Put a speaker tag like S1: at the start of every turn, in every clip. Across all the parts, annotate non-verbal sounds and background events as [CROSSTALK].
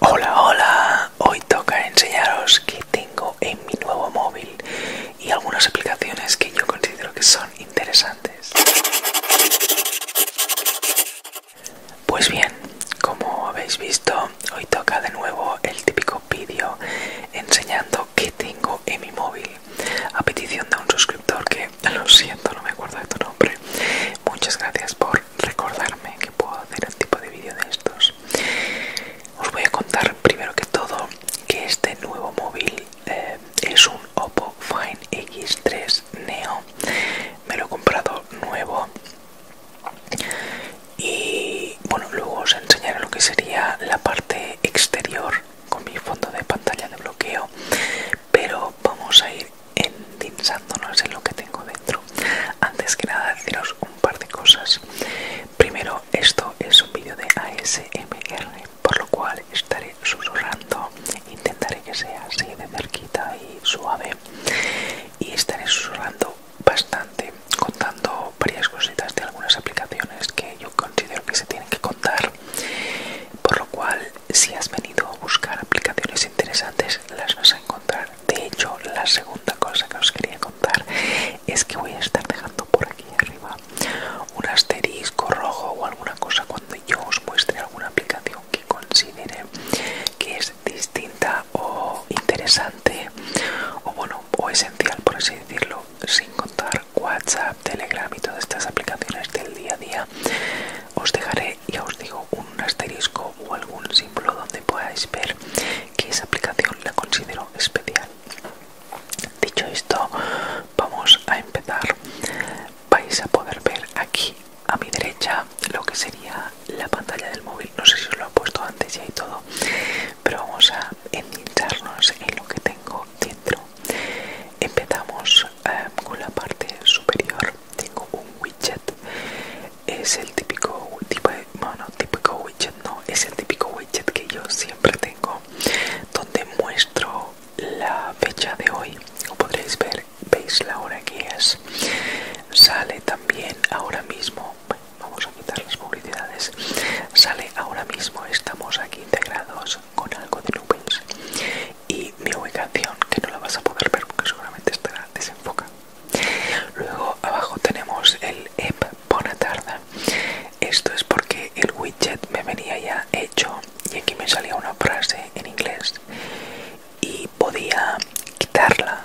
S1: Hola, hola, hoy toca enseñaros qué tengo en mi nuevo móvil y algunas aplicaciones que yo considero que son interesantes. Pues bien, como habéis visto, hoy toca de nuevo el típico vídeo enseñando qué tengo en mi móvil a petición de un suscriptor que, [LAUGHS] lo siento, no me acuerdo de tu nombre. Muchas gracias por recordarme que puedo hacer un tipo de vídeo de estos. Os voy a contar primero que todo que este nuevo móvil eh, es un Oppo Find X3 Neo. Me lo he comprado nuevo. Y bueno, luego os enseñaré lo que sería la parte exterior con mi fondo de pantalla de bloqueo. Pero vamos a ir endinzándonos en lo que tengo dentro. Antes que nada, deciros un par de cosas. Primero, esto es un vídeo de ASMR, por lo cual estaré susurrando. Intentaré que sea así de cerquita y suave. Y estaré susurrando bastante, contando varias cositas de algunas aplicaciones que yo considero que se tienen que contar. Por lo cual, si has venido a buscar aplicaciones interesantes, las vas a encontrar de hecho la segunda cosa que os quería contar es que voy a estar dejando por aquí arriba un asterisco rojo o alguna cosa cuando yo os muestre alguna aplicación que considere que es distinta o interesante o bueno o esencial por así decirlo sin contar whatsapp telegram y todas estas aplicaciones del día a día os dejaré ya os digo un asterisco o algún símbolo donde podáis ver que esa aplicación la considero especial dicho esto vamos a empezar vais a poder ver aquí a mi derecha lo que sería la pantalla del móvil no sé si os lo he puesto antes ya y todo pero vamos a endincharnos en lo que tengo dentro empezamos eh, con la parte superior tengo un widget es el típico tipo típico widget no es el típico widget que yo siempre tengo donde muestro la fecha de hoy como podréis ver veis la hora que es sale también ahora mismo vamos a quitar las publicidades sale ahora mismo estamos aquí integrados con algo de nubes y mi ubicación que no la vas a poder ver porque seguramente estará desenfocada Luego abajo tenemos el app e Bonatarda. Esto es porque el widget me venía ya hecho y aquí me salía una frase en inglés y podía quitarla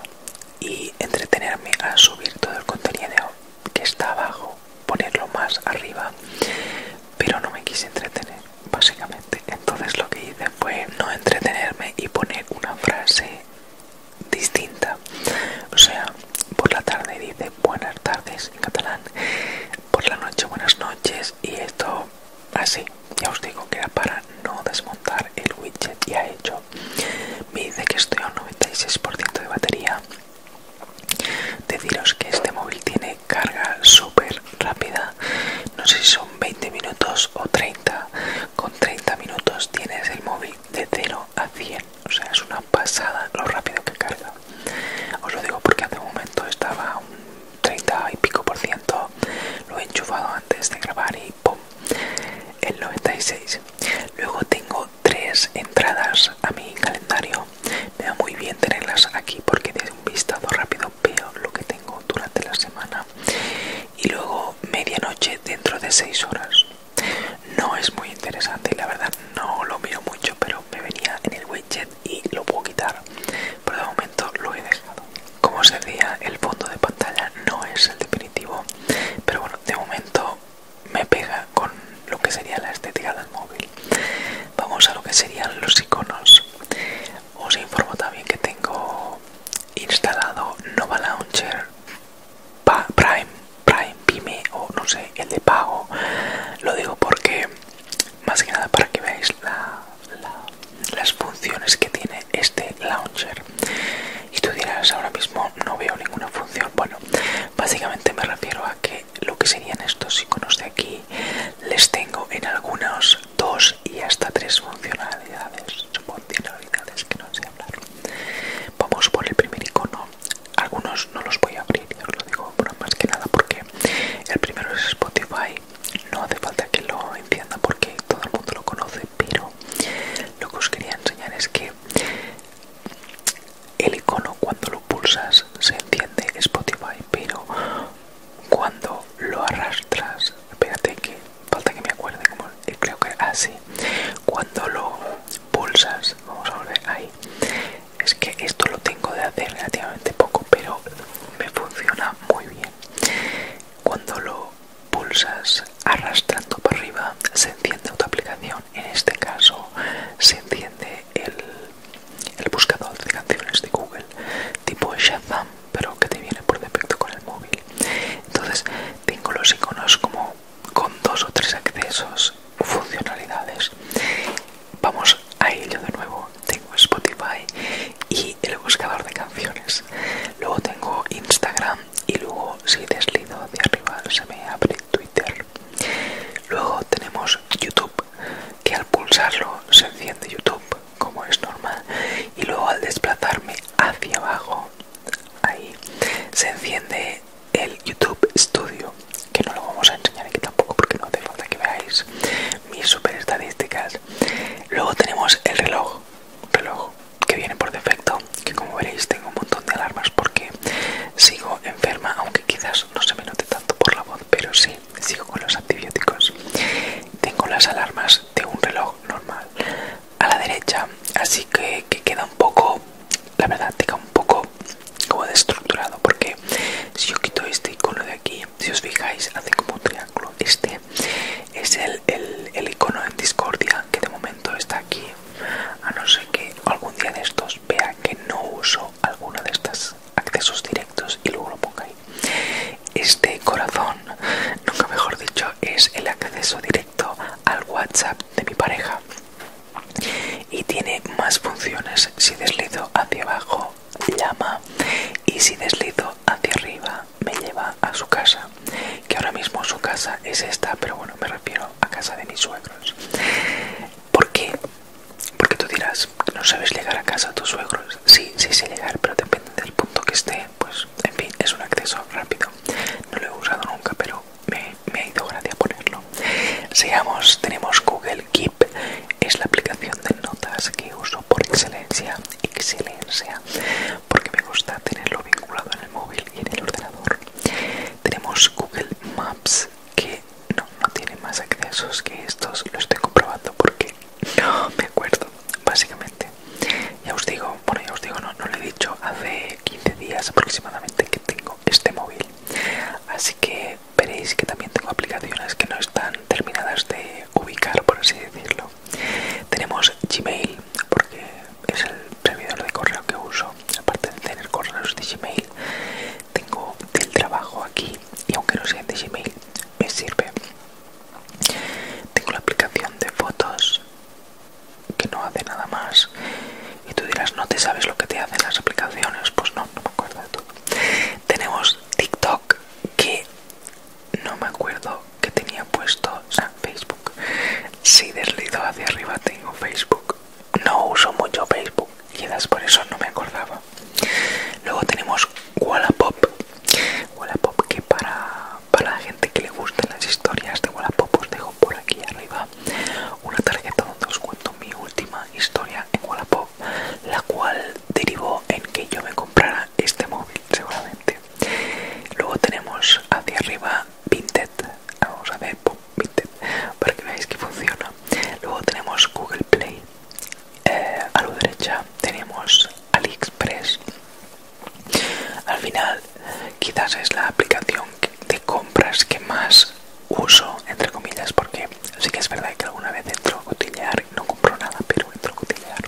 S1: y entretenerme a subir todo el contenido que está abajo, ponerlo más arriba, pero no me quise entretener básicamente. Entonces lo que hice fue no entretenerme y poner una frase distinta. O sea, por la tarde dice buenas tardes en catalán, por la noche buenas noches y esto así. Ya os digo que era para no desmontar el widget ha hecho. Me dice que estoy a un 96% de batería. Deciros que este móvil tiene carga súper rápida. No sé si son 20 minutos o 30 con 30 minutos tienes el móvil de 0 a 100 o sea es una pasada lo rápido que carga os lo digo porque hace un momento estaba un 30 y pico por ciento lo he enchufado antes de grabar y ¡pum! el 96 luego tengo tres entradas a mi calendario me da muy bien tenerlas aquí porque de un vistazo rápido veo lo que tengo durante la semana y luego medianoche dentro de 6 horas. No es muy interesante y la verdad no lo miro mucho, pero me venía en el widget y lo puedo quitar. Pero de momento lo he dejado. Como os decía, el fondo de pantalla no es el definitivo, pero bueno, de momento me pega con lo que sería la estética del móvil. Vamos a lo que serían los iconos. Os informo también que tengo instalado Nova Launcher Prime, Prime, Prime o no sé, el de pago. Lo digo porque, más que nada, para que veáis las funciones que tiene este launcher. Y tú dirás, ahora mismo no veo ninguna función. Bueno, básicamente me refiero a que lo que serían estos iconos de aquí les tengo en algunos dos y hasta tres funcionalidades, funcionalidades que no sé hablar. Vamos por el primer icono. Algunos no los voy a abrir, os lo digo pero más que nada porque el primero es Spotify. No hace falta que lo encienda porque todo el mundo lo conoce, pero lo que os quería enseñar es que el icono cuando lo pulsas se enciende Spotify, pero cuando lo arrastras, espérate que falta que me acuerde eh, creo que así ah, cuando lo pulsas vamos a volver ahí es que esto lo tengo de hacer relativamente poco pero me funciona muy bien cuando lo pulsas arrastrando para arriba se enciende otra aplicación en este caso se enciende el, el buscador de canciones de Google tipo Shazam pero que te viene por defecto con el móvil entonces tengo los iconos como con dos o tres accesos funcionalidades vamos a ello de nuevo tengo Spotify y el buscador de canciones luego tengo Instagram y luego si deslido de arriba se me abre Twitter luego tenemos YouTube que al pulsarlo se enciende YouTube como es normal y luego al desplazarme hacia abajo ahí se enciende el YouTube Studio que no lo vamos a enseñar aquí tampoco porque no hace falta que veáis mis super estadísticas luego tenemos el reloj reloj que viene por defecto que como veréis tengo un montón de alarmas porque sigo enferma aunque quizás no se me note tanto por la voz pero sí sigo con los antibióticos tengo las alarmas de un reloj normal a la derecha así que, queda un poco la verdad queda un poco como destructurado porque si yo quito este icono de aquí si os fijáis hace como un triángulo este es el, el icono en discordia que de momento está aquí a no ser que algún día de estos vea que no uso alguno de estos accesos directos y luego lo ponga ahí este corazón, nunca mejor dicho, es el acceso directo al WhatsApp de mi pareja y tiene más funciones. Si deslizo hacia abajo, llama y si deslizo hacia arriba, me lleva a su casa. Que ahora mismo su casa es esta, pero bueno, me refiero a casa de mis suegros. ¿Por qué? Porque tú dirás, no sabes llegar a casa a tus suegros. Sí, sí sé llegar, pero depende del punto que esté, pues en fin, es un acceso rápido. No lo he usado nunca, pero me, ha ido gracia ponerlo. Sigamos, tenemos Google Keep, es la aplicación de notas que uso por excelencia, excelencia, porque me gusta tenerlo vinculado en el móvil y en el ordenador. Tenemos Google Maps, que no, no tiene más accesos que estos, lo estoy comprobando porque no me acuerdo, básicamente. Ya os digo, bueno, ya os digo, no, no lo he dicho, hace 15 días aproximadamente que tengo este móvil. Así que veréis que también tengo aplicaciones que no están terminadas de ubicar, por así decirlo. Tenemos Gmail, porque es el servidor de correo que uso, aparte de tener correos de Gmail. Tengo del trabajo aquí y aunque no sea de Gmail, me sirve tengo la aplicación de fotos que no hace nada más. Y tú dirás, no te sabes lo que te hacen las aplicaciones. Pues no, no me acuerdo de todo. Tenemos TikTok, que no me acuerdo que tenía puesto. O Facebook. Si deslido hacia arriba, tengo Facebook. No uso mucho Facebook. y Quizás por eso no me acordaba. Luego tenemos Wallapop. Wallapop que para para la gente que le gusten las historias de Wallapop os dejo por aquí arriba una tarjeta donde os cuento mi última historia en Wallapop, la cual derivó en que yo me comprara este móvil seguramente. Luego tenemos hacia arriba Vinted, ah, vamos a ver Vinted para que veáis que funciona. Luego tenemos Google Play, eh, a la derecha tenemos AliExpress al final, quizás es la aplicación de compras que más uso, entre comillas, porque sí que es verdad que alguna vez entro a cotillear, no compro nada, pero entro a cotillear.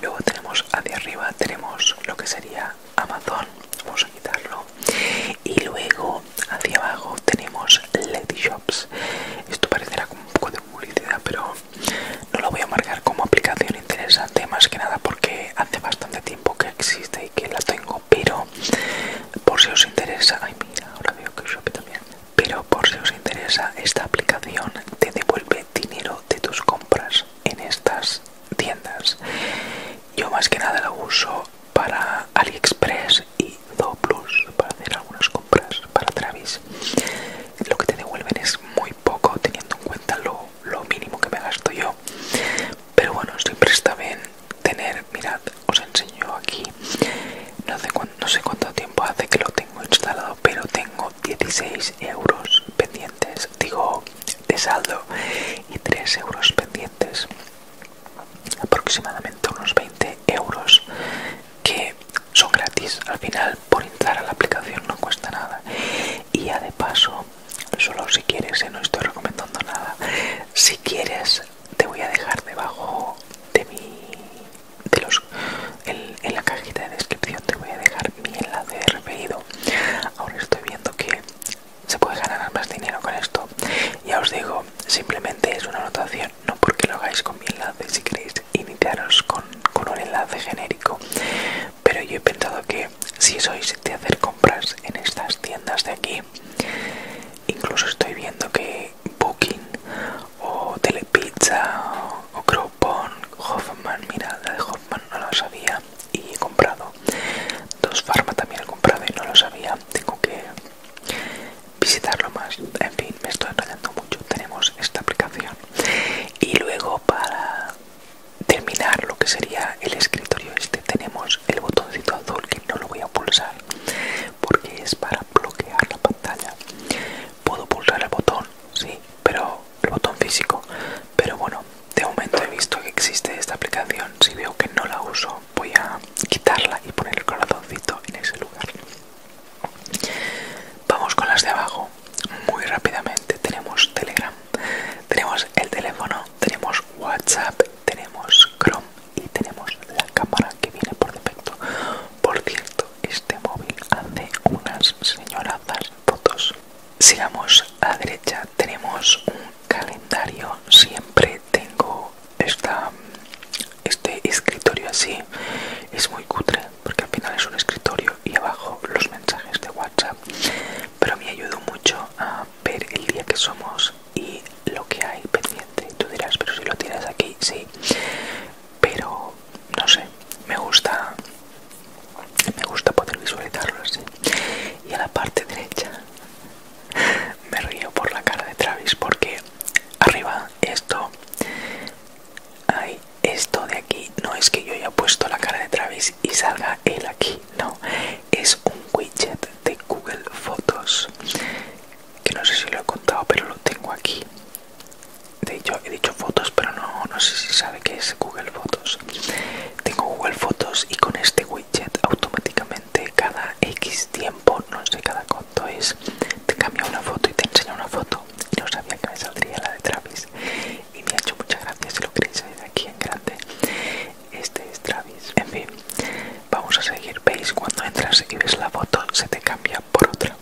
S1: Luego tenemos hacia arriba, tenemos lo que sería Amazon, vamos a quitarlo. Y luego hacia abajo tenemos Lady Shops. Esto parecerá como un poco de publicidad, pero no lo voy a marcar como aplicación interesante, más que nada porque hace bastante tiempo que existe y que la tengo, pero por si os interesa, mira, ahora veo que también, pero por si os interesa, esta aplicación te devuelve dinero de tus compras en estas tiendas. Yo más que nada la uso para AliExpress y Zooplus para hacer algunas compras para Travis. Lo que te devuelven es muy poco teniendo en cuenta lo, mínimo que me gasto yo pero bueno siempre está bien tener mirad os enseño aquí no sé, no sé cuánto tiempo hace que lo tengo instalado pero tengo 16 euros pendientes digo de saldo y 3 euros pendientes aproximadamente unos 20 euros que son gratis al final por entrar a la aplicación no cuesta nada y ya de paso solo si quieres eh, no estoy recomendando nada si quieres te voy a dejar debajo de mi de los en, en la cajita de descripción te voy a dejar mi enlace de referido ahora estoy viendo que se puede ganar más dinero con esto ya os digo simplemente es una anotación no porque lo hagáis con mi enlace si queréis iniciaros con, un enlace genérico pero yo he pensado que si sois de hacer compras en estas tiendas de aquí incluso estoy viendo que Booking o Telepizza o, Crowbond Hoffman mira la de Hoffman no lo sabía y he comprado dos Farma también he comprado y no lo sabía tengo que visitarlo más en fin me estoy enrollando mucho tenemos esta aplicación y luego para terminar lo que sería el escritorio este tenemos el botoncito azul que no lo voy a pulsar porque es para bloquear la pantalla puedo pulsar el botón sí pero el botón físico pero bueno de momento he visto que existe esta aplicación si veo que no la uso voy a quitarla y poner el corazoncito en ese lugar Vamos con las de abajo. Muy rápidamente tenemos Telegram, tenemos el teléfono, tenemos WhatsApp, tenemos Chrome y tenemos la cámara que viene por defecto. Por cierto, este móvil hace unas señorazas fotos. Sigamos a la derecha, tenemos un calendario. Siempre tengo este escritorio así. Es muy cutre, porque al final es un escritorio y abajo los mensajes de WhatsApp. Pero me ayudó mucho a ver el día que somos y lo que hay pendiente. Tú dirás, pero si lo tienes aquí, sí. Pero no sé, me gusta, me gusta poder visualizarlo así. Y a la parte derecha [LAUGHS] me río por la cara de Travis porque arriba esto hay esto de aquí no es que yo haya puesto la cara de Travis y salga él aquí, no, es un widget de Google Fotos, que no sé si lo he contado, pero lo tengo aquí. De hecho, he dicho fotos, pero no, no sé si sabe que es Google Fotos. Tengo Google Fotos y con este widget automáticamente cada X tiempo, no sé cada cuánto es, te cambia una foto y te enseña una foto no sabía que me saldría la de Travis y me ha hecho muchas gracias si lo queréis ver aquí en grande este es Travis en fin vamos a seguir veis cuando entras y ves la foto se te cambia por otra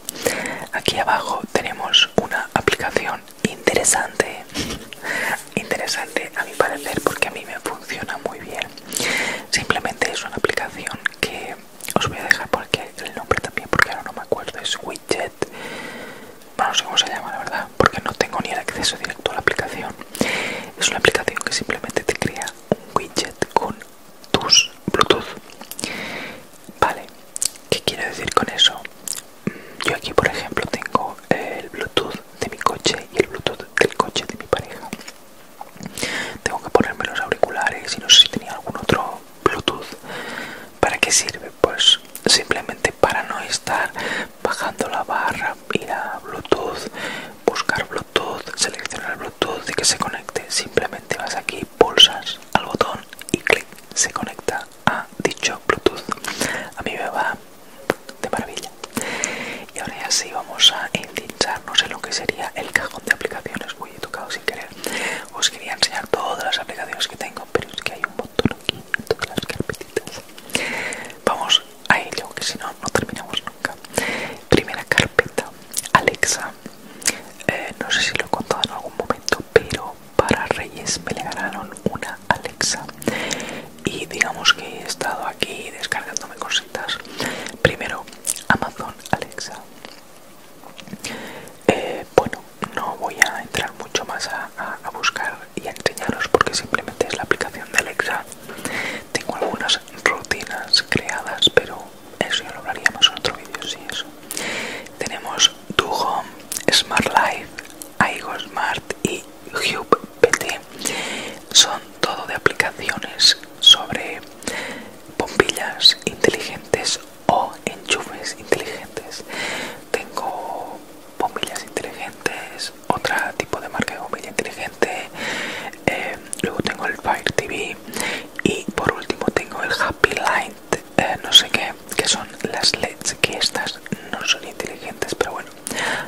S1: aquí abajo tenemos una aplicación interesante [LAUGHS] interesante a mi parecer porque a mí me funciona muy bien simplemente es una aplicación que os voy a dejar porque el nombre también porque ahora no me acuerdo es Wii no sé cómo se llama la verdad porque no tengo ni el acceso directo a la aplicación es una aplicación que simplemente te crea un widget con tus bluetooth vale qué quiero decir con eso mm, yo aquí por ejemplo tengo el bluetooth de mi coche y el bluetooth del coche de mi pareja tengo que ponerme los auriculares y no sé si tenía algún otro bluetooth para qué sirve pues simplemente para no estar bajando la barra ir a bluetooth buscar bluetooth seleccionar bluetooth y que se conecte simplemente vas aquí pulsas al botón y clic se conecta a dicho bluetooth a mí me va de maravilla y ahora ya sí vamos a endincharnos en lo que sería el cajón de aplicaciones voy he tocado sin querer os quería enseñar todas las aplicaciones que tengo pero es que hay un montón aquí en todas las carpetitas. Vamos a ello, que si no, no terminamos nunca. Primera carpeta, Alexa. Eh, no sé si lo he contado en algún momento, pero para Reyes me le ganaron una Alexa. Y digamos que he estado aquí descargándome cositas. Primero, Amazon Alexa. Eh, bueno no voy a entrar mucho más a, buscar y a enseñaros porque simplemente es la aplicación de Alexa tengo algunas rutinas creadas pero eso ya lo hablaríamos en otro vídeo sí eso tenemos tu Home, Smart Life, Aigo Smart y Hub PT son todo de aplicaciones sobre bombillas inteligentes o enchufes inteligentes. Tengo bombillas inteligentes, otro tipo de marca de bombilla inteligente. Eh, luego tengo el Fire TV y por último tengo el Happy Light, eh, no sé qué, que son las LEDs que estas no son inteligentes, pero bueno,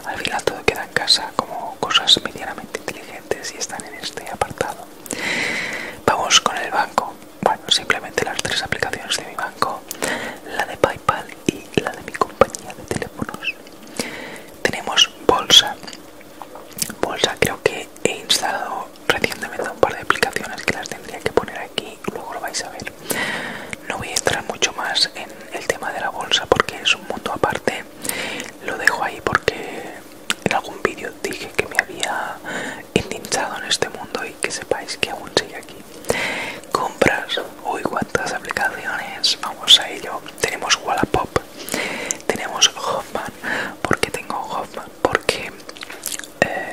S1: al final todo queda en casa como cosas medianamente inteligentes y están en este apartado. Vamos con el banco bueno, simplemente las tres aplicaciones de mi banco, la de PayPal y la de mi compañía de teléfonos. Tenemos Bolsa. Bolsa creo que he instalado recientemente un par de aplicaciones que las tendría que poner aquí, luego lo vais a ver. No voy a entrar mucho más en el tema de la bolsa porque es un mundo aparte. Lo dejo ahí porque en algún vídeo dije que me había endinchado en este mundo y que sepáis que aún sigue aquí. Compras, uy, cuántas aplicaciones, vamos a ello. Tenemos Wallapop, tenemos Hoffman, porque tengo eh, Hoffman, porque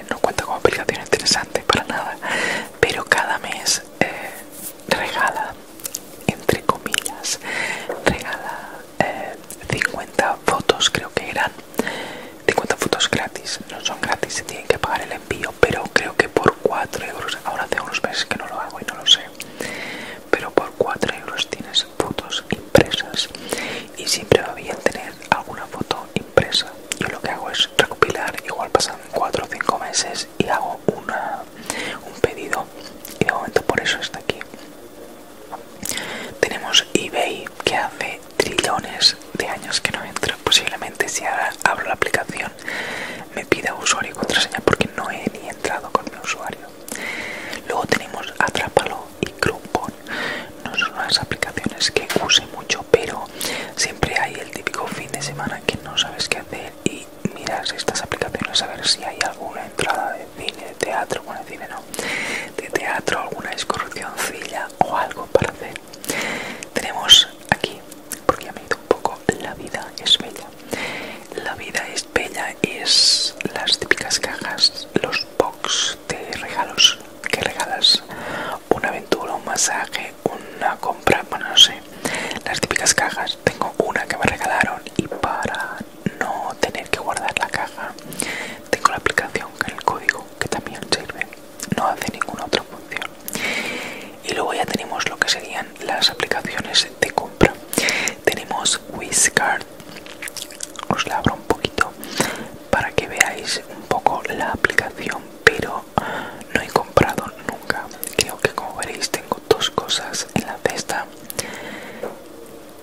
S1: no cuenta con aplicación interesante para nada, pero cada mes eh, regala, entre comillas, regala 50 eh, fotos, creo que eran 50 fotos gratis, no son gratis, se tienen que pagar el envío, pero creo que por 4 euros, ahora hace unos meses que no lo hago y no lo sé, pero por 4 euros tienes fotos impresas y siempre va bien tener alguna foto impresa. Yo lo que hago es recopilar, igual pasan 4 o 5 meses y hago un pedido y de momento por eso está aquí. Tenemos eBay que hace trillones de años que no entro. Posiblemente si ahora abro la aplicación me pide usuario y contraseña porque no he ni entrado con mi usuario. Luego tenemos Atrápalo y Groupon. No son las aplicaciones que use mucho, pero siempre hay el típico fin de semana que no sabes qué hacer y miras estas aplicaciones a ver si hay alguna entrada de cine, de teatro, bueno, de cine no, de teatro, alguna excursioncilla o algo para hacer. Tenemos aquí, porque ya me he un poco, la vida es bella. La vida es bella es las típicas cajas, los box de regalos que regalas. Una aventura, un masaje, una compra, bueno no sé. Las típicas cajas, tengo una que me regalaron y para no tener que guardar la caja, tengo la aplicación con el código que también sirve no hace ninguna otra función y luego ya tenemos lo que serían las aplicaciones de compra tenemos WizCard, os la abro un poquito para que veáis un poco la aplicación pero no he comprado nunca creo que como veréis tengo dos cosas en la cesta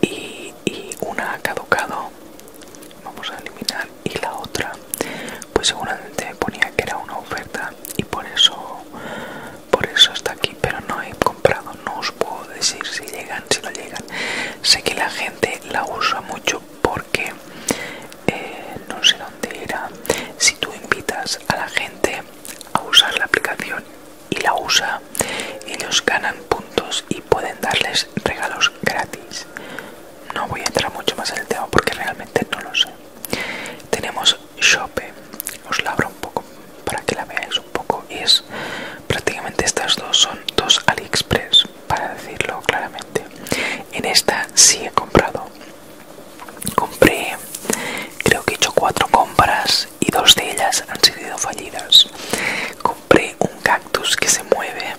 S1: y una ha caducado vamos a eliminar y la otra pues seguramente ponía que era una oferta y por eso por eso está aquí pero no he comprado no os puedo decir si llegan si no llegan sé que la gente la usa mucho porque eh, no sé dónde era si tú invitas a la gente a usar la aplicación y la usa ellos ganan puntos y pueden darles regalos gratis no voy a entrar mucho más en el tema porque realmente no lo sé. Tenemos Shopee, os la abro un poco para que la veáis un poco es prácticamente estas dos son dos AliExpress para decirlo claramente. En esta sí he comprado. Compré, creo que he hecho cuatro compras y dos de ellas han sido fallidas. Compré un cactus que se mueve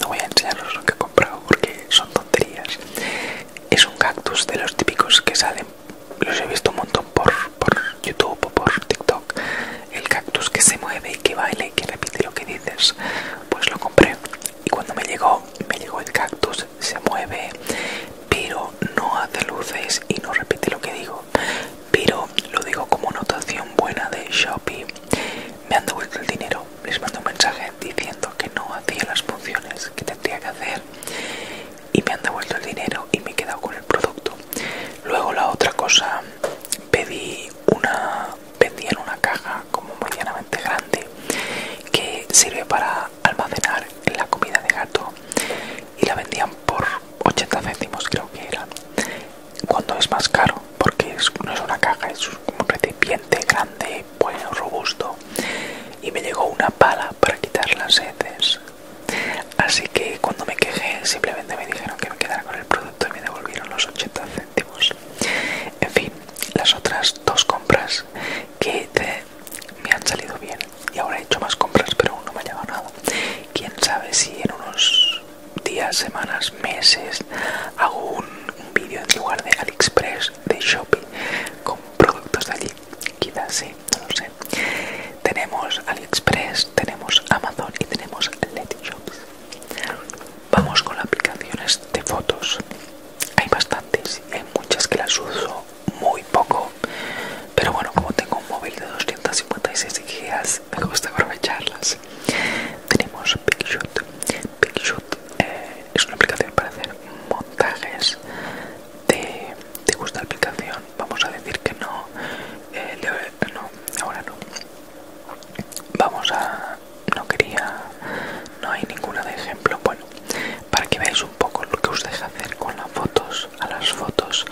S1: no voy a enseñaros lo que he comprado porque son tonterías. Es un cactus de los típicos que salen. Los he visto un montón por, YouTube o por TikTok. El cactus que se mueve y que baila y que repite lo que dices. Pues lo compré. Y cuando me llegó, me llegó el cactus, se mueve, pero no hace luces y no repite lo que digo. Pero lo digo como notación buena de Shopee me han devuelto el dinero, les mandé un mensaje diciendo que no hacía las funciones que tendría que hacer y me han devuelto el dinero y me he quedado con el producto. Luego la otra cosa, pedí una, una caja como medianamente grande que sirve para almacenar la comida de gato y la vendían por 80 céntimos creo que era cuando es más caro porque no es una caja es un recipiente grande bueno pues, robusto y me llegó una pala para quitar las heces así que cuando me quejé simplemente me dijeron que me quedara con el producto y me devolvieron los 80 céntimos en fin las otras dos compras que me han salido bien y ahora he hecho más compras pero aún no me ha llegado nada quién sabe si en unos días, semanas, meses hago un, vídeo en lugar de AliExpress, de shopping con productos de allí. Quizás sí, no sé. Tenemos AliExpress, tenemos Amazon y tenemos Letty Shops. Vamos con las aplicaciones de fotos. Hay bastantes, hay muchas que las uso muy poco, pero bueno, como tengo un móvil de 256 GB, me gusta aprovecharlas tenemos Picshoot, Picshoot eh, es una aplicación para hacer montajes. ¿Te, ¿Te gusta la aplicación? Vamos a decir que no. Eh, no, ahora no. Vamos a. No quería. No hay ninguna de ejemplo. Bueno, para que veáis un poco lo que os deja hacer con las fotos, a las fotos.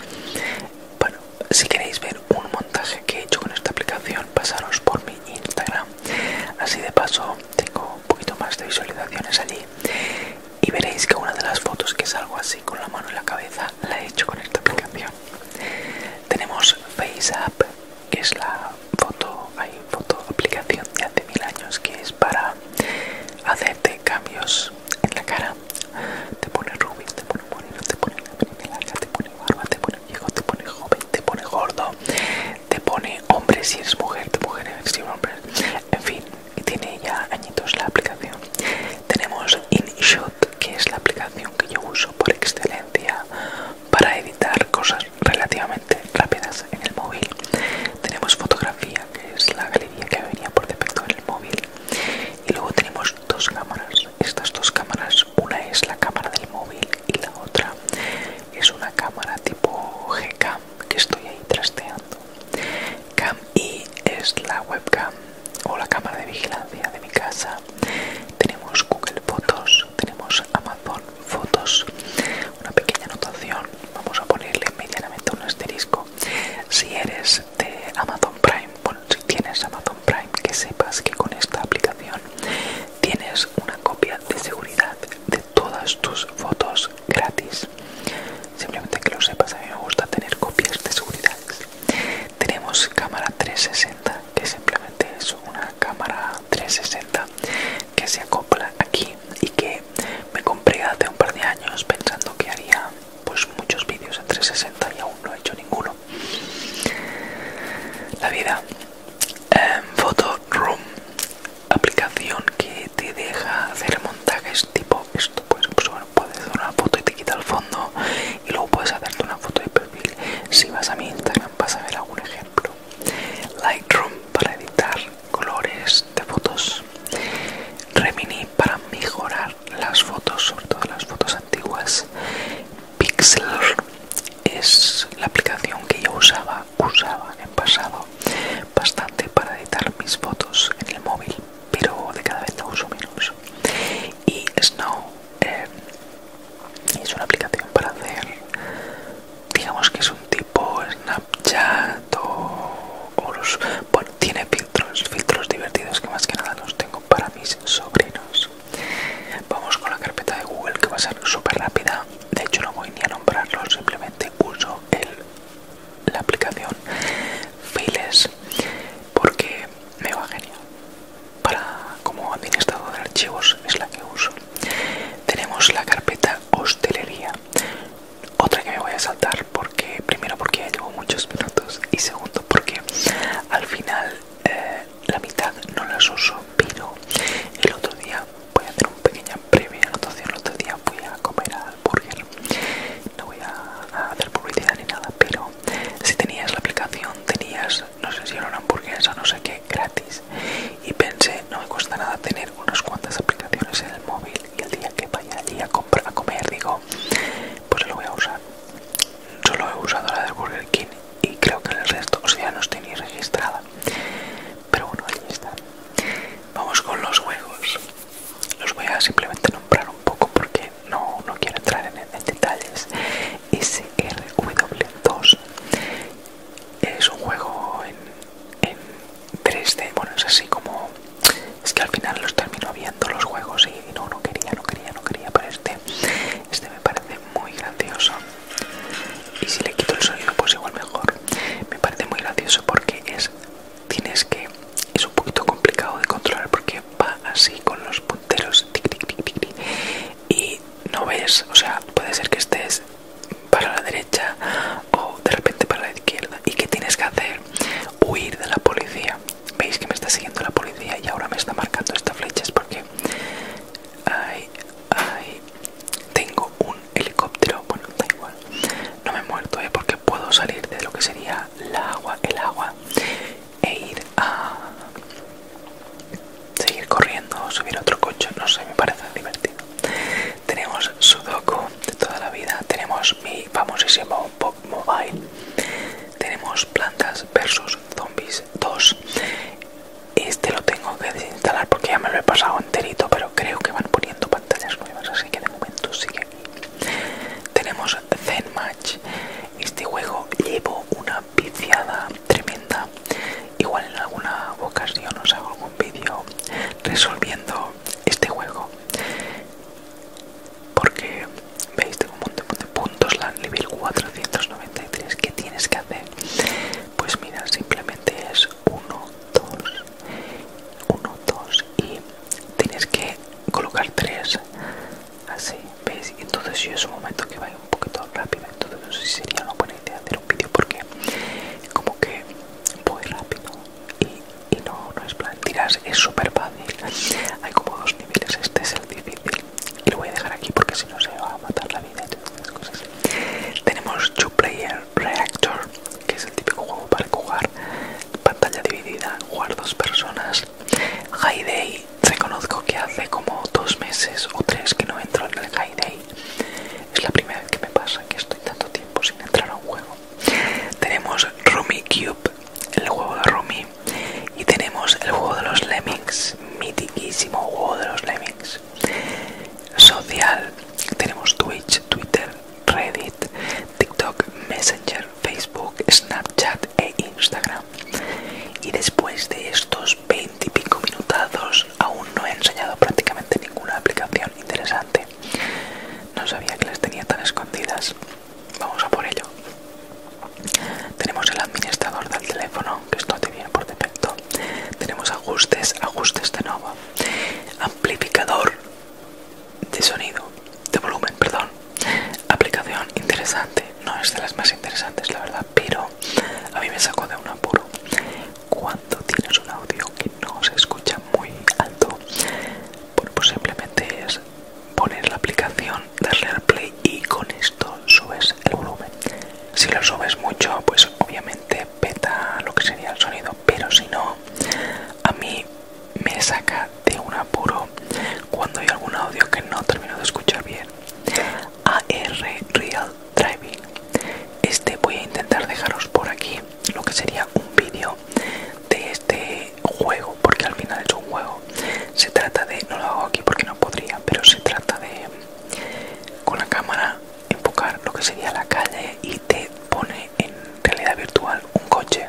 S1: Bueno, si queréis ver un montaje que he hecho con esta aplicación, pasaros por mi Instagram. Así de paso tengo un poquito más de visualizaciones allí. Y veréis que una de las fotos que es algo así con la mano en la cabeza la he hecho con esta aplicación. Tenemos FaceApp, que es la foto, hay foto aplicación de hace mil años que es para hacerte cambios en la cara. Te pone rubis, te pone moreno, te pone larga, te pone barba, te pone viejo, te pone joven, te pone gordo, te pone hombre si es mujer, te mujer si eres hombre. En fin, y tiene ya añitos la aplicación. Tenemos InShot, que es la aplicación que yo uso por excelencia para editar cosas relativamente rápidas en el móvil. Tenemos fotografía, que es la galería que venía por defecto en el móvil. Y luego tenemos dos cámaras. Estas dos cámaras una es la cámara del móvil y la otra es una cámara tipo Gcam que estoy ahí trasteando. Cam I es la webcam o la cámara de vigilancia de mi casa. Tenemos Google Fotos, tenemos Amazon Fotos. Una pequeña anotación, vamos a ponerle medianamente un asterisco. Si eres de Amazon Prime, bueno, si tienes Amazon Prime, que sepas que con esta aplicación Tienes una copia de seguridad de todas tus fotos gratis. Simplemente que lo sepas, a mí me gusta tener copias de seguridad. Tenemos cámara 360, que simplemente es una cámara 360 que se acopla aquí y que me compré hace un par de años pensando que haría pues muchos vídeos en 360 y aún no he hecho ninguno la vida em, photo room aplicación que te deja hacer montajes tipo esto pues, puedes hacer una foto y te quita el fondo y luego puedes hacerte una foto de perfil si vas a mi instagram vas a ver algún ejemplo lightroom para editar colores de fotos remini para mejorar las fotos sobre todo las fotos antiguas Pixlr es la aplicación que yo usaba, usaba en pasado bastante para editar mis fotos en el móvil, pero de cada vez uso menos. Y Snow eh, es una aplicación para hacer, digamos que es un tipo Snapchat o, tiene filtros, filtros divertidos que más que nada los tengo para mis sobrinos. Vamos con la carpeta de Google que va a ser súper rápida. De hecho, no voy ni a nombrarlo, simplemente uso el, la aplicación Files porque me va genial. Para como administrador de archivos es la que uso. Tenemos la carpeta hostelería. Otra que me voy a saltar porque primero porque ya llevo muchos minutos y segundo porque al final eh, la mitad no las uso, pero el otro día voy a hacer una pequeña previa. anotación, el otro día fui a comer al burger. No voy a, hacer publicidad ni nada, pero si tenías la aplicación, tenías, no sé si era una hamburguesa, no sé qué, gratis. Y pensé, no me cuesta nada tener unas cuantas aplicaciones en el móvil. Y el día que vaya allí a, comprar, a comer, digo, pues lo voy a usar. Solo he usado la del Burger King y creo que el resto sea, ya no estoy ni registrada pero bueno ahí está vamos con los juegos los voy a simplemente nombrar un poco porque no, quiero entrar en, detalles SRW2 es un juego en, 3D bueno es así como es que al final los termino viendo los juegos y no no quería no quería no quería para este este. me parece muy gracioso. Y si le quito el sonido, pues igual mejor. Me parece muy gracioso porque es. Tienes que. Es un poquito complicado de controlar porque va así con los punteros. y no ves. O sea, puede ser que estés para la derecha o de repente para la izquierda. ¿Y qué tienes que hacer? Huir de la policía. Veis que me está siguiendo la policía y ahora me está marcando esta flecha. Es porque ay, ay. Tengo un helicóptero, bueno, da igual. No me he muerto, ¿eh? Porque puedo salir de lo que sería el agua, el agua, e ir a seguir corriendo, subir otro coche. No sé, me parece divertido. Tenemos Sudoku de toda la vida. Tenemos mi famosísimo Pop Mobile. Tenemos plantas versus zombies. 2 este lo tengo que desinstalar porque ya me lo he pasado enterito pero creo que van poniendo pantallas nuevas así que de momento sigue aquí tenemos Zen Match este juego llevo una viciada tremenda igual en alguna ocasión os hago algún vídeo resolviendo este juego porque veis tengo un montón puntos la nivel 493 ¿qué tienes que hacer pues mira simplemente es 1 2 1 2 y tienes que colocar 3 así veis entonces yo es un momento que va un poquito rápido entonces no sé si sería una buena idea hacer un vídeo porque como que voy rápido y, no, es plan tiras, es súper fácil hay como dos niveles este es el difícil y lo voy a dejar aquí porque si no se va a matar la vida Tenemos Two Player Reactor, que es el típico juego para jugar pantalla dividida, jugar dos personas. High Day, reconozco que hace como dos meses o tres que no entro en el High Day. Es la primera vez que me pasa que estoy tanto tiempo sin entrar a un juego. Tenemos Rummy Cube, el juego de Rummy y tenemos el juego de los Lemmings, mitiquísimo juego de los Lemmings. Social, tenemos Twitch, Twitter, Reddit, TikTok, Messenger, Facebook, Snapchat e Instagram. Y después de estos veintipico minutados aún no he enseñado prácticamente ninguna aplicación interesante. No sabía que las tenía tan escondidas. Vamos a por ello. Tenemos el administrador del teléfono, que esto te por defecto. Tenemos ajustes, ajustes de nuevo. Amplificador de sonido, de volumen, perdón. Aplicación interesante, no es de las más interesantes, la verdad, pero a mí me sacó de un apuro. Cuando tienes un audio que no se escucha muy alto, pues simplemente es poner la aplicación darle al play y con esto subes el volumen. Si lo subes mucho, pues obviamente peta lo que sería el sonido, pero si no, a mí me saca de un apuro cuando hay algún audio que no termino de escuchar bien. AR Real Driving. Este voy a intentar dejaros por aquí lo que sería un vídeo de este juego, porque al final es un juego se trata de no lo hago aquí porque no podría pero se trata de con la cámara enfocar lo que sería la calle y te pone en realidad virtual un coche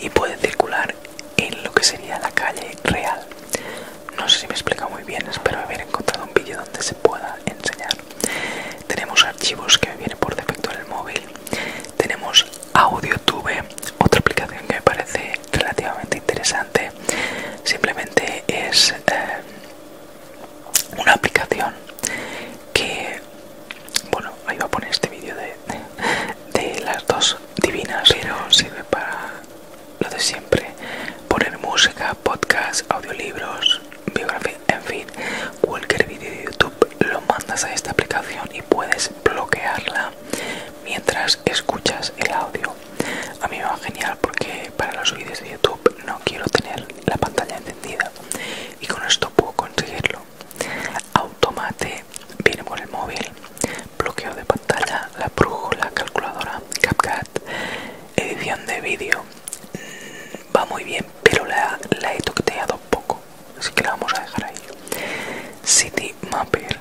S1: y puede circular en lo que sería la calle real no sé si me explica muy bien espero haber encontrado un vídeo donde se pueda enseñar tenemos archivos que vienen por defecto en el móvil tenemos audiotube otra aplicación que me parece relativamente interesante simplemente es eh, una aplicación que bueno ahí va a poner este vídeo de las dos divinas pero sirve para lo de siempre poner música podcast audiolibros biografía en fin cualquier vídeo de youtube lo mandas a esta aplicación y puedes bloquearla mientras escuchas el audio a mí me va genial porque para los vídeos de YouTube no quiero tener la pantalla encendida y con esto puedo conseguirlo. Automate viene por el móvil, bloqueo de pantalla, la brújula, calculadora, CapCut, edición de vídeo. Mm, va muy bien, pero la, he toqueteado poco, así que la vamos a dejar ahí. City Mapper,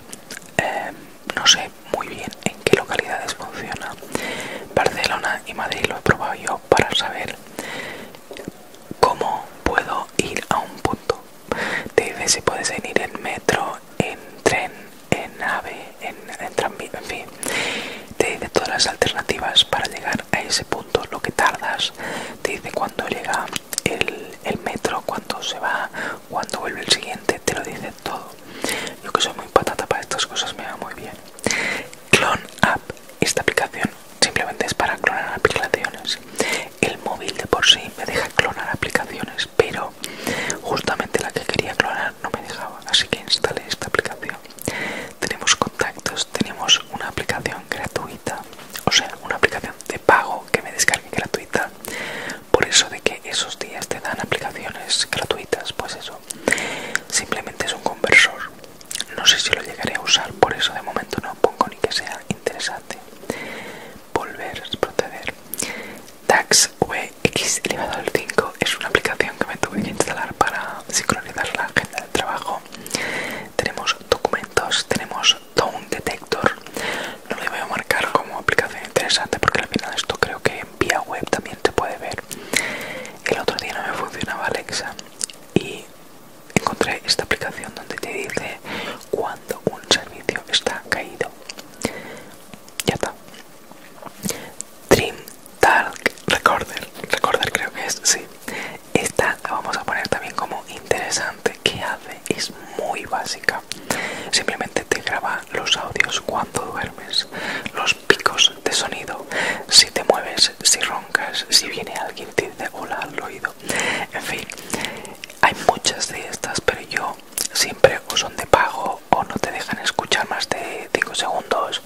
S1: eh, no sé, muy bien en qué localidades funciona. Barcelona y Madrid lo he probado yo para saber cómo puedo ir a un punto. Te dice si puedes ir en metro, en tren, en ave, en, tranvía, en fin. Te dice todas las alternativas para llegar a ese punto, lo que tardas. Te dice cuándo llega el, metro, cuándo se va, cuándo vuelve el siguiente. Te lo dice todo. Yo que soy muy patata para estas cosas me va muy bien. Clone App, esta aplicación simplemente es para clonar aplicaciones. El móvil de por sí me deja clonar aplicaciones, pero justamente la que quería clonar no me dejaba, así que instalé esta aplicación. Tenemos contactos, tenemos una aplicación gratuita, o sea, una aplicación de pago que me descargue gratuita, por eso de que esos días te dan aplicaciones gratuitas pues eso simplemente es un conversor no sé si lo llegaré a usar por eso de momento no pongo ni que sea interesante volver proceder DAX vx elevado al 5 es una aplicación que me tuve que instalar para sincronizar la agenda del trabajo tenemos documentos tenemos down detect no lo voy a marcar como aplicación interesante porque al final esto creo que en vía web también te puede ver. El otro día no me funcionaba Alexa y encontré esta aplicación donde te dice cuando un servicio está caído. Ya está. Dream Talk Recorder. Recorder creo que es, sí. Esta la vamos a poner también como interesante. que hace? es muy básica. Simplemente te graba los audios cuando duermes, los picos de sonido, si te mueves, si roncas, si viene alguien te dice hola al oído. En fin, hay muchas de estas, pero yo siempre o son de pago o no te dejan escuchar más de 5 segundos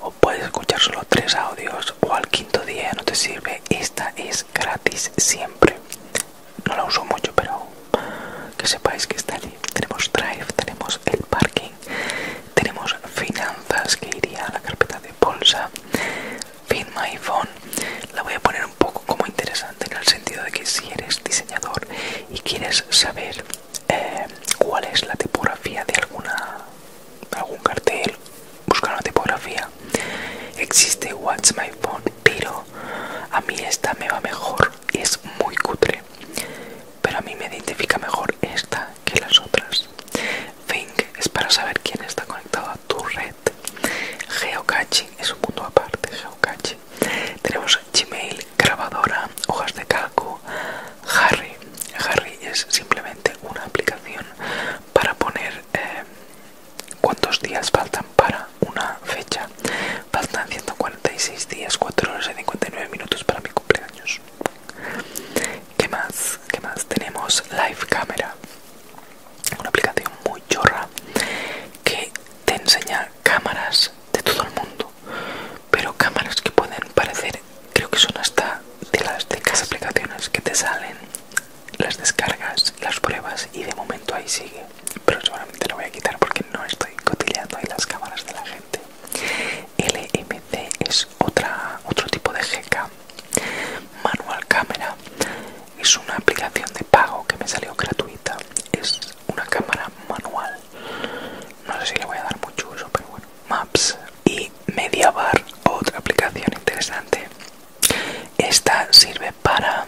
S1: o puedes escuchar solo 3 audios o al quinto día no te sirve. Esta es gratis siempre no la uso mucho pero que sepáis que está allí tenemos drive tenemos el parking tenemos finanzas que iría a la carpeta de bolsa fin my phone la voy a poner un poco como interesante en el sentido de que si eres diseñador y quieres saber eh, cuál es la tipografía de alguna algún cartel buscar una tipografía existe Watch my phone pero a mí esta me va mejor es muy cutre, pero a mí me identifica mejor esta que las otras. Think es para saber quién está conectado a tu red. Geocaching es un punto aparte, Tenemos Gmail, grabadora, hojas de calco, Harry. Harry es simplemente una aplicación para poner eh, cuántos días faltan para una fecha. Faltan 146 días, 4 horas y 59 minutos para mi cumpleaños. ¿Qué más? ¿Qué más? Tenemos Live Camera, una aplicación muy chorra que te enseña cámaras de todo el mundo, pero cámaras que pueden parecer, creo que son hasta de las de las aplicaciones que te salen, las descargas, las pruebas y de momento ahí sigue pero seguramente lo voy a quitar porque no estoy cotilleando ahí las cámaras de la gente. LMC es otra, otro tipo de GK, Manual Cámara, es una aplicación de pago que me salió gratuita, es una cámara manual, no sé si le voy a dar mucho uso, pero bueno, Maps y Mediabar, otra aplicación interesante. Esta sirve para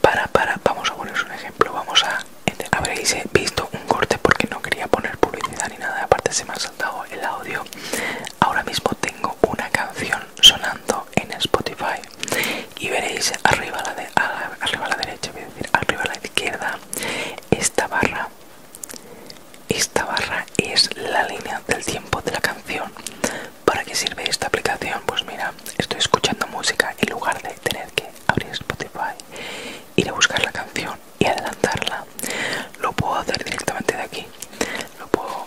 S1: para para vamos a poneros un ejemplo vamos a este, habréis visto un corte porque no quería poner publicidad ni nada aparte se me ha saltado el audio ahora mismo tengo una canción sonando en Spotify y veréis arriba a la, la derecha voy a decir arriba a la izquierda esta barra esta barra es la línea del tiempo de la canción ¿Para qué sirve esta aplicación? Pues mira, estoy escuchando música en lugar de tener que abrir Spotify, ir a buscar la canción y adelantarla. Lo puedo hacer directamente de aquí. Lo puedo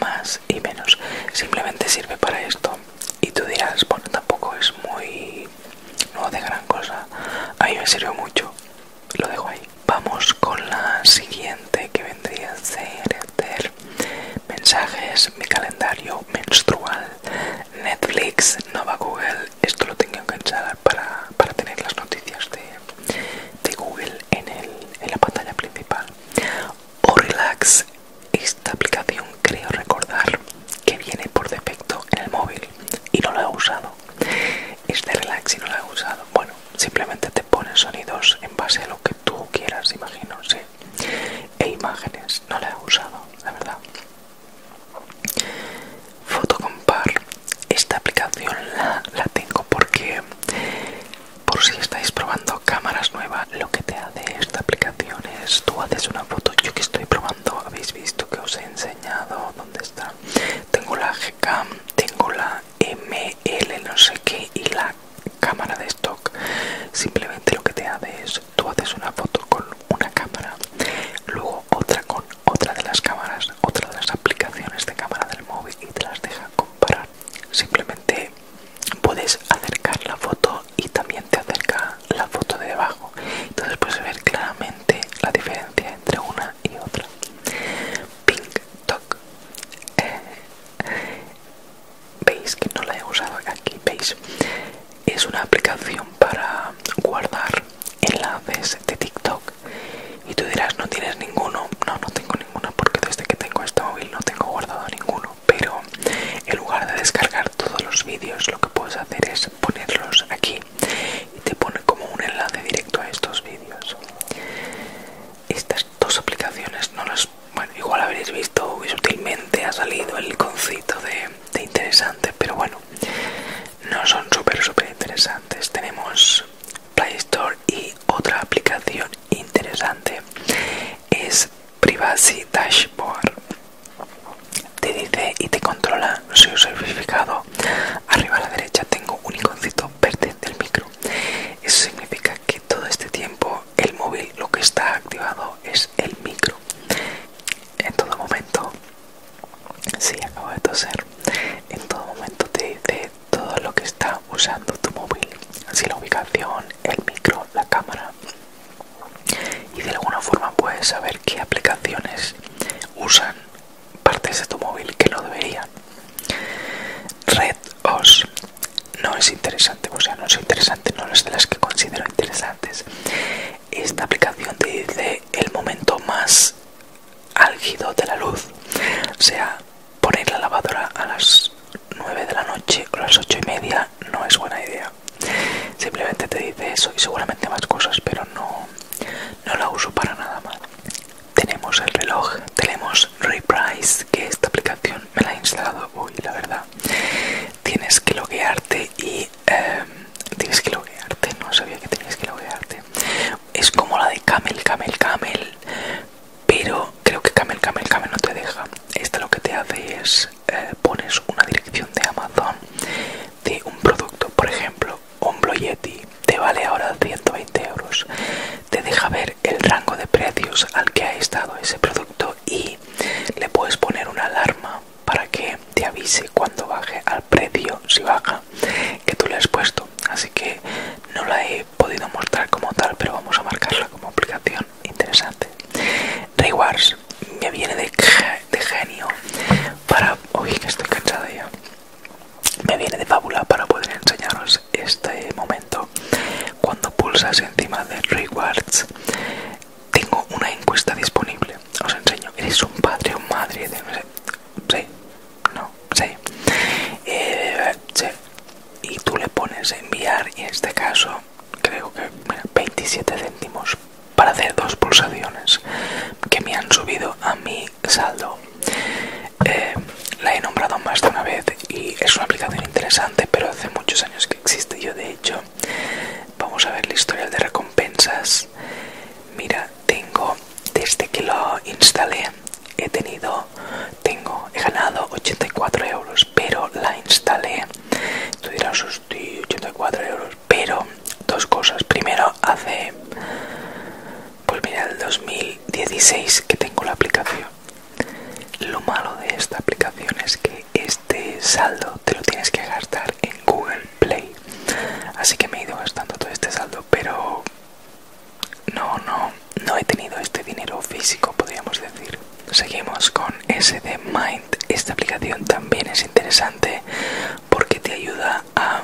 S1: más y menos. Simplemente sirve para esto. Y tú dirás, bueno, tampoco es muy... no de gran cosa. A mí me sirve mucho. Lo dejo ahí. Vamos con la siguiente que vendría a ser mensajes, mi calendario menstrual, Netflix, Nova Google. Esto lo tengo que instalar para, tener las noticias de, Google en, la pantalla principal. O Relax, esta aplicación creo recordar que viene por defecto en el móvil y no la he usado. Este relax y no la he usado. Bueno, simplemente te pone sonidos en base a lo que tú quieras, imagino, e imágenes no la he usado la verdad fotocompar esta aplicación la, tengo porque por si estáis probando cámaras nuevas lo que te hace esta aplicación es tú haces una foto yo que estoy probando habéis visto que os he enseñado dónde está tengo la gcam tengo la ml no sé qué y la cámara de stock simplemente lo que te hace es tú haces una foto con una cámara luego otra con otra de las cámaras otra de las aplicaciones de cámara del móvil y te las deja comparar simplemente puedes acercar la foto y también te acerca la foto de debajo entonces puedes ver claramente la diferencia entre una y otra pink toc veis que no la he usado aquí veis es una aplicación para guardar enlaces de tiktok y tú dirás no tienes ninguno no no tengo ninguno porque desde que tengo este móvil no tengo guardado ninguno pero en lugar de descargar todos los vídeos lo que puedes hacer es ponerlos aquí y te pone como un enlace directo a estos vídeos dos aplicaciones no las igual habréis visto y sutilmente ha salido el iconcito de, de interesante pero bueno no son súper súper interesantes tenemos Play Store y otra aplicación interesante es Privacy Dashboard te dice y te controla su certificado arriba a la derecha tengo un iconcito verde del micro eso significa que todo este tiempo el móvil lo que está activado es el micro. En todo momento, si acabo de toser, en todo momento te dice todo lo que está usando tu móvil. Así la ubicación, el micro, la cámara. Y de alguna forma puedes saber qué aplicaciones usan partes de tu móvil que no deberían. Red os no es interesante, o sea, no es interesante, no es de las que considero interesantes. Esta aplicación te dice el momento más álgido de la luz, o sea, poner la lavadora a las 9 de la noche o las 8 y media no es buena idea. Simplemente te dice eso y seguramente más cosas, pero no, no la uso para nada más. Tenemos el reloj, tenemos Reprise, que esta aplicación me la ha instalado hoy, la verdad. Tienes que loguearte y... Em, tienes que loguearte, no sabía que tenías que loguearte. Es como la de Camel, Camel, Camel, pero creo que Camel, Camel, Camel no te deja. Esta lo que te hace es eh, pones una dirección de Amazon de un producto, por ejemplo, un Yeti, te vale ahora 120 euros. Te deja ver el rango de precios al que ha estado ese producto y le puedes poner una alarma para que te avise cuando baje al precio si baja que tú le has puesto así que no la he podido mostrar como tal pero vamos a marcarla como aplicación interesante wars me viene de, de genio para uy que estoy cansada ya me viene de fábula para poder enseñaros este momento cuando pulsas encima de rewards tengo una encuesta disponible os enseño eres un padre o madre no sé sí no eh, sí. y tú le pones enviar y en este caso creo que 27 céntimos para hacer dos pulsaciones que me han subido a mi saldo eh, la he nombrado más de una vez y es una aplicación interesante pero hace muchos años que existe. Yo, de hecho, vamos a ver la historia de recompensas. Mira, tengo desde que lo instalé, he tenido, tengo, he ganado 84 euros, pero la instalé. Tú dirás, 84 euros, pero dos cosas. Primero, hace, pues mira, el 2016 que tengo la aplicación. Lo malo de esta aplicación es que este saldo te lo tienes que gastar en Google Play. Así que me he ido gastando todo este saldo, pero no, no, no he tenido este dinero físico, podríamos decir. Seguimos con SD Mind. Esta aplicación también es interesante porque te ayuda a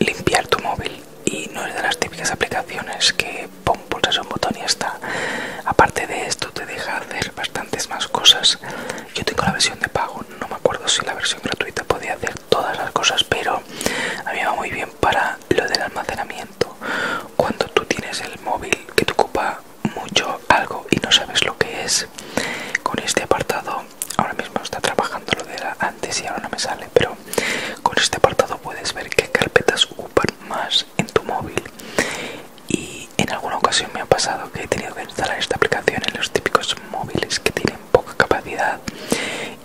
S1: limpiar tu móvil y no es de las típicas aplicaciones que pum, pulsas un botón y está. Aparte de esto, te deja hacer bastantes más cosas. Yo tengo la versión de pago, no me acuerdo si la versión gratuita podía hacer todas las cosas, pero a mí va muy bien para lo del almacenamiento. Cuando tú tienes el móvil que te ocupa mucho algo y no sabes lo que es, con este apartado, ahora mismo está trabajando lo de antes y ahora no me sale, pero con este apartado puedes ver qué carpetas ocupan más en tu móvil y en alguna ocasión me ha pasado que he tenido que instalar esta aplicación en los típicos móviles que tienen poca capacidad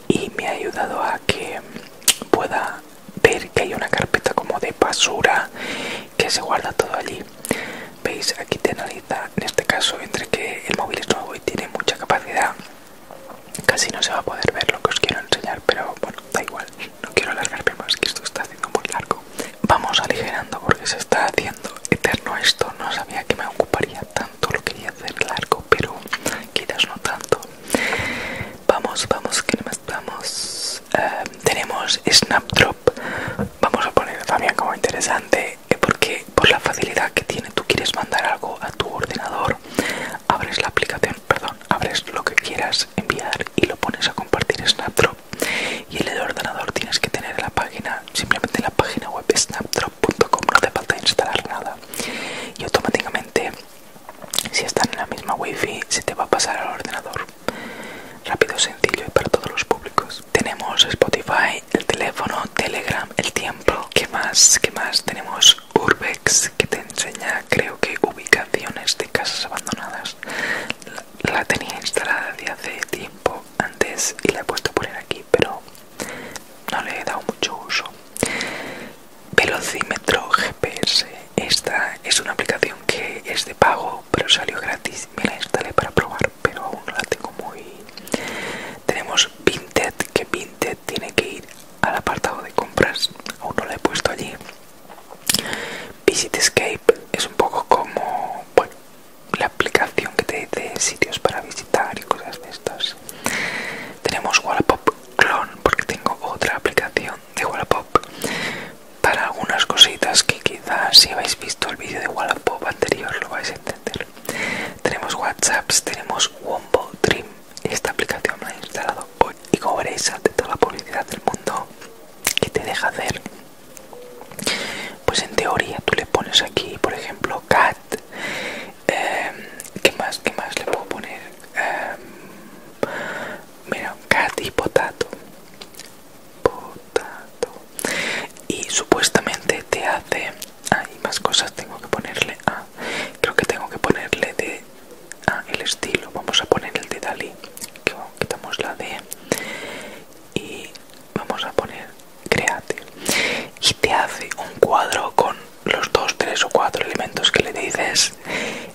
S1: y me ha ayudado a que pueda ver que hay una carpeta como de basura que se guarda todo allí veis aquí te analiza en este caso entre que el móvil es nuevo y tiene mucha capacidad casi no se va a poder ver lo que os quiero enseñar pero bueno da igual no quiero alargarme más, que esto está haciendo muy largo. Vamos aligerando porque se está haciendo eterno esto. No sabía que me ocuparía tanto, lo quería hacer largo, pero quizás no tanto. Vamos, vamos, que más eh, tenemos Snapdrop. Vamos a poner también como interesante eh, porque por la facilidad que tiene, tú quieres mandar algo a tu ordenador, abres la aplicación, perdón, abres lo que quieras enviar y lo pones a compartir Snapdrop y el ordenador tienes que tener la página, simplemente la página web snapdrop.com, no te falta instalar nada y automáticamente si están en la misma wifi se te va a pasar al ordenador rápido, sencillo y para todos los públicos tenemos Spotify, el teléfono, Telegram, el tiempo ¿qué más? ¿qué más? tenemos Urbex que te enseña creo que ubicaciones de casas abandonadas la, tenía instalada de hace tiempo antes y la he puesto a poner aquí pero no le he dado mucho uso velocímetro gps esta es una aplicación que es de pago pero salió gratis me la instalé para probar pero aún no la tengo muy tenemos Vinted que Vinted tiene que ir al apartado de compras aún no la he puesto allí Visit Escape es un poco como la aplicación que te dice sitios para visitar y cosas de estas. Tenemos Wallapop Clone porque tengo otra aplicación de Wallapop para algunas cositas que quizás si habéis visto el vídeo de Wallapop anterior lo vais a entender. Tenemos WhatsApp, tenemos Wombo Dream. Esta aplicación la he instalado y veréis, ante toda la publicidad del mundo que te deja hacer pues en teoría tú le pones aquí por ejemplo cat em, ¿qué más qué más le puedo poner em, mira cat y potato potato y supuestamente te hace hay más cosas tengo que ponerle a. creo que tengo que ponerle de Ah, el estilo vamos a poner el de Dalí quitamos la D y vamos a poner create y te hace un cuadro con los dos tres o cuatro elementos que le dices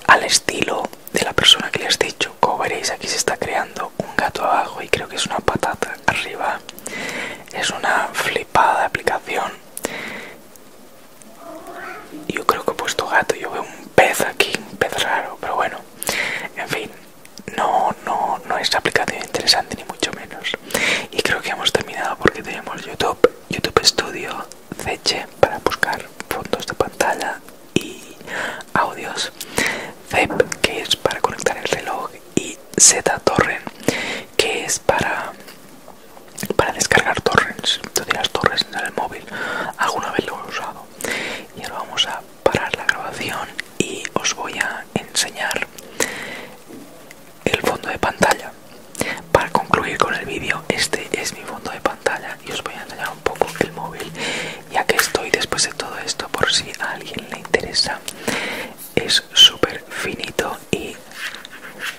S1: al estilo de la persona que le has dicho como veréis aquí se está creando un gato abajo y creo que es una patata arriba es una flipada aplicación yo creo que he puesto gato, yo veo un pez aquí, un pez raro, pero bueno, en fin, no, no, no es aplicación interesante ni mucho menos. Y creo que hemos terminado porque tenemos YouTube, YouTube Studio, Zeche para buscar fondos de pantalla y audios, Zep que es para conectar el reloj y Z Torrent que es para para descargar torrents, Todas las torrents en el móvil alguna vez lo he usado y ahora vamos a parar la grabación y os voy a enseñar el fondo de pantalla para concluir con el vídeo este es mi fondo de pantalla y os voy a enseñar un poco el móvil ya que estoy después de todo esto por si a alguien le interesa es súper finito y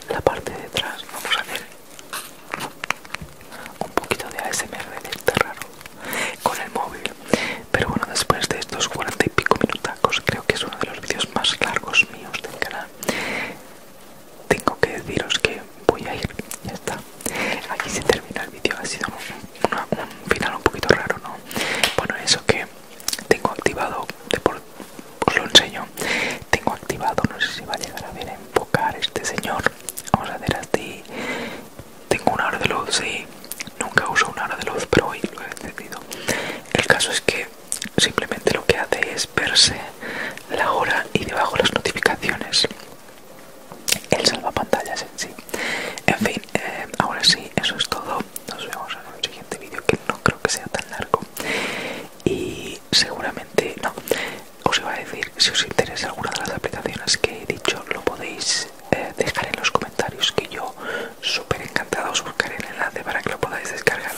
S1: la parte de atrás vamos a ver un poquito de ASMR de este raro con el móvil pero bueno después de estos cuarenta y pico minutacos creo que es uno de los vídeos más largos míos del canal tengo que deciros que voy a ir ya está aquí se termina el vídeo ha sido un, final un poquito raro no bueno eso que tengo activado por, os lo enseño tengo activado no sé si va a llegar a ver enfocar este señor Vamos a hacer así. Tengo un hora de luz, sí. Nunca uso un hora de luz, pero hoy lo he decidido. El caso es que simplemente lo que hace es verse la hora y debajo las notificaciones. El salvapantallas en sí. En fin, eh, ahora sí, eso es todo. Nos vemos en el siguiente vídeo que no creo que sea tan largo. Y seguramente, no, os iba a decir, si os interesa alguna de las aplicaciones que he dicho, lo podéis eh, dejar en los comentarios, que yo súper encantado os buscaré el enlace para que lo podáis descargar.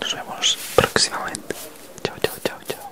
S1: Nos vemos próximamente. Chao, chao, chao, chao.